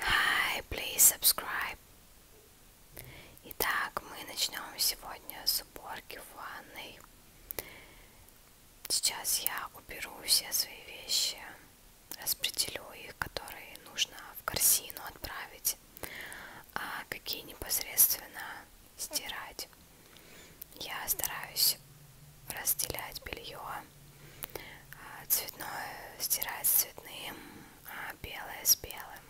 Hi, please subscribe. Итак, мы начнем сегодня с уборки в ванной. Сейчас я уберу все свои вещи, распределю их, которые нужно в корзину отправить, а какие непосредственно стирать. Я стараюсь разделять белье а, цветное стирать с цветным, а белое с белым.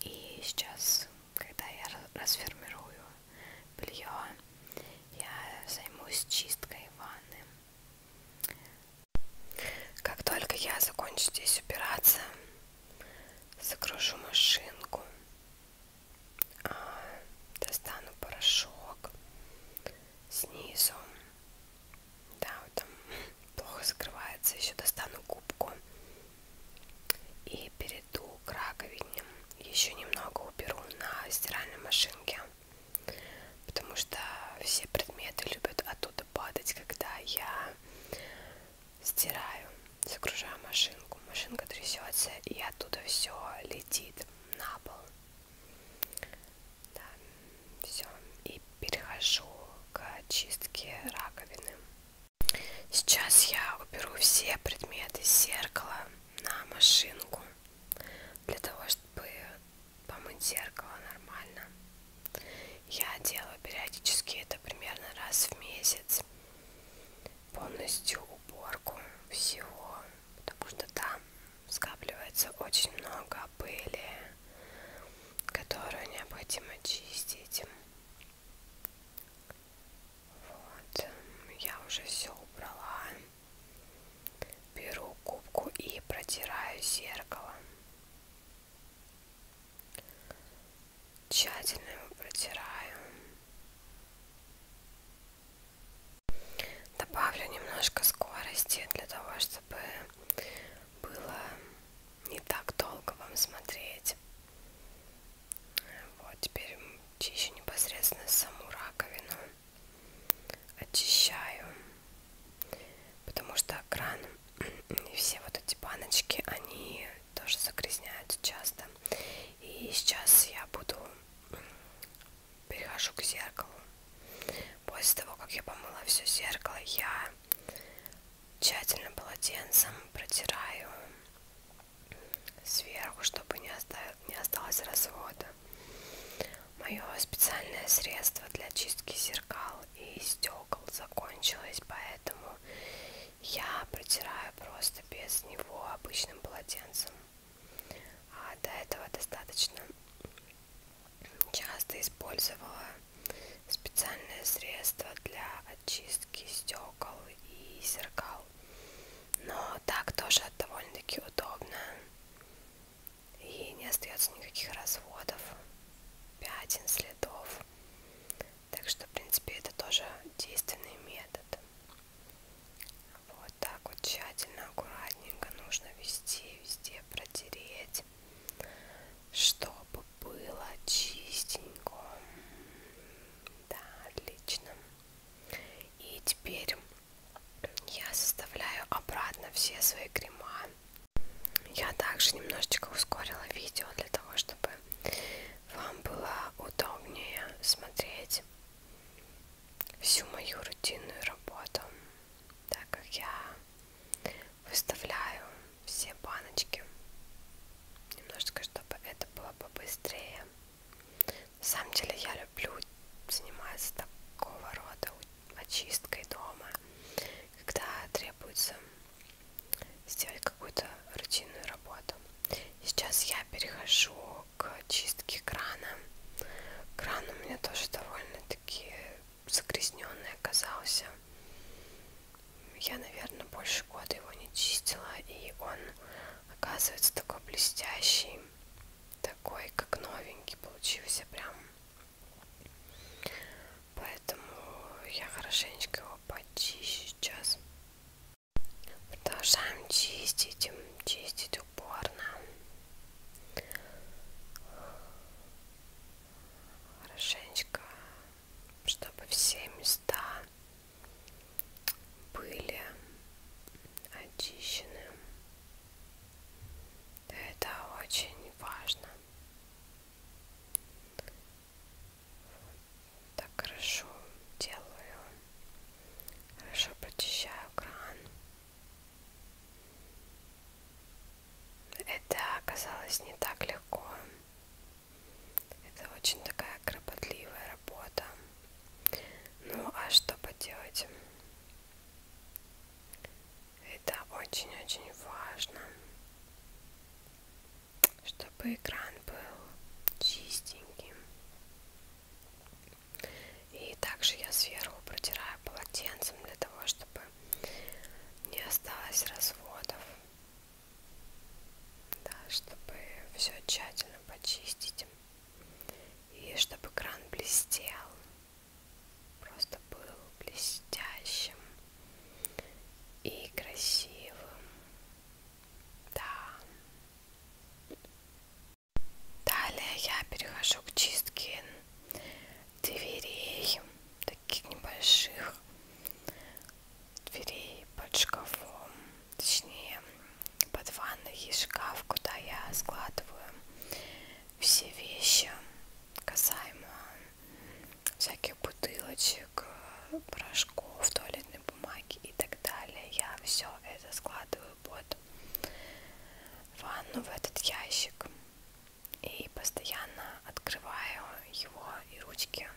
И сейчас, когда я расформирую белье, я займусь чисткой ванны. Как только я закончу здесь убираться, загружу машинку, а, достану порошок, снизу. Да, вот там плохо закрывается. Еще достану губку и перейду к раковине. Еще немного уберу на стиральной машинке, потому что все предметы любят оттуда падать, когда я стираю, загружаю машинку. Машинка трясется и оттуда все летит на пол. Да, все. И перехожу к чистке раковины. Сейчас я уберу все предметы с зеркала на машинку для того, чтобы помыть зеркало нормально. Я делаю периодически это примерно раз в месяц полностью уборку всего потому что там скапливается очень много пыли, которую необходимо чистить. Вот, я уже все убрала. Беру губку и протираю зеркало. Тщательно его протираю. Добавлю немножко скорости для того, чтобы было не так долго вам смотреть. Вот теперь чищу непосредственно саму раковину. Очищаю. Потому что кран и все вот эти баночки, они тоже загрязняются часто. И сейчас я буду перехожу к зеркалу. После того, как я помыла все зеркало, я тщательно полотенцем протираю сверху, чтобы не, оставил, не осталось развода. Мое специальное средство для чистки зеркал и стекол закончилось, поэтому я протираю просто без него обычным полотенцем. А до этого достаточно часто использовала специальное средство для очистки стекол и зеркал. Но так тоже довольно-таки удобно. И не остается никаких разводов, пятен, следов. Так что, в принципе, это тоже действенный метод. Вот так вот тщательно, аккуратненько нужно везде, везде протереть, чтобы было чистенько. Да, отлично. И теперь я составляю обратно все свои крема. Я также немножечко ускорила видео для того, чтобы вам было удобнее смотреть делать всю мою рутинную работу, так как я выставляю все баночки немножечко, чтобы это было побыстрее. На самом деле я люблю заниматься такого рода очисткой дома, когда требуется сделать какую-то рутинную работу. Сейчас я перехожу к чистке крана. Кран у меня тоже довольно-таки загрязненный оказался. Я, наверное, больше года его не чистила, и он оказывается такой блестящий, такой как новенький получился прям. Поэтому я хорошенечко его почищу сейчас. Продолжаем чистить, чистить упорно. Хорошенечко, чтобы все места были очищены. Это очень важно так хорошо делаю, хорошо прочищаю кран. Это оказалось не так легко. Это очень такая кропотливая работа. Ну а что поделать? Это очень-очень важно чтобы экран был чистеньким. И также я сверху протираю полотенцем для того, чтобы не осталось разводов. Да, чтобы все тщательно почистить. И чтобы кран блестел. Просто был блестящим и красивым. Да. Далее я перехожу к чистке дверей, таких небольших дверей под шкафом, точнее под ванной есть шкаф, куда я складываю все вещи касаемо всяких бутылочек, э, порошков, туалетной бумаги и так далее. Я все это складываю под ванну в этот ящик и постоянно открываю его и ручки.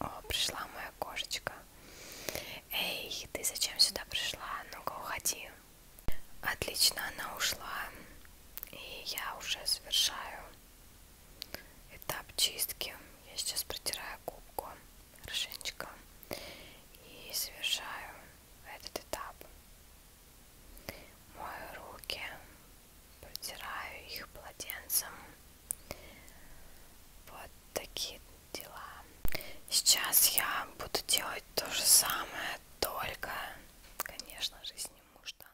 О, пришла моя кошечка. Эй, ты зачем сюда пришла? Ну-ка уходи. Отлично, она ушла. И я уже совершаю Этап чистки. Я сейчас протираю губку хорошенечко и совершаю этот этап. Мою руки, протираю их полотенцем. Вот такие дела. Сейчас я буду делать то же самое, только, конечно же, сниму штаны.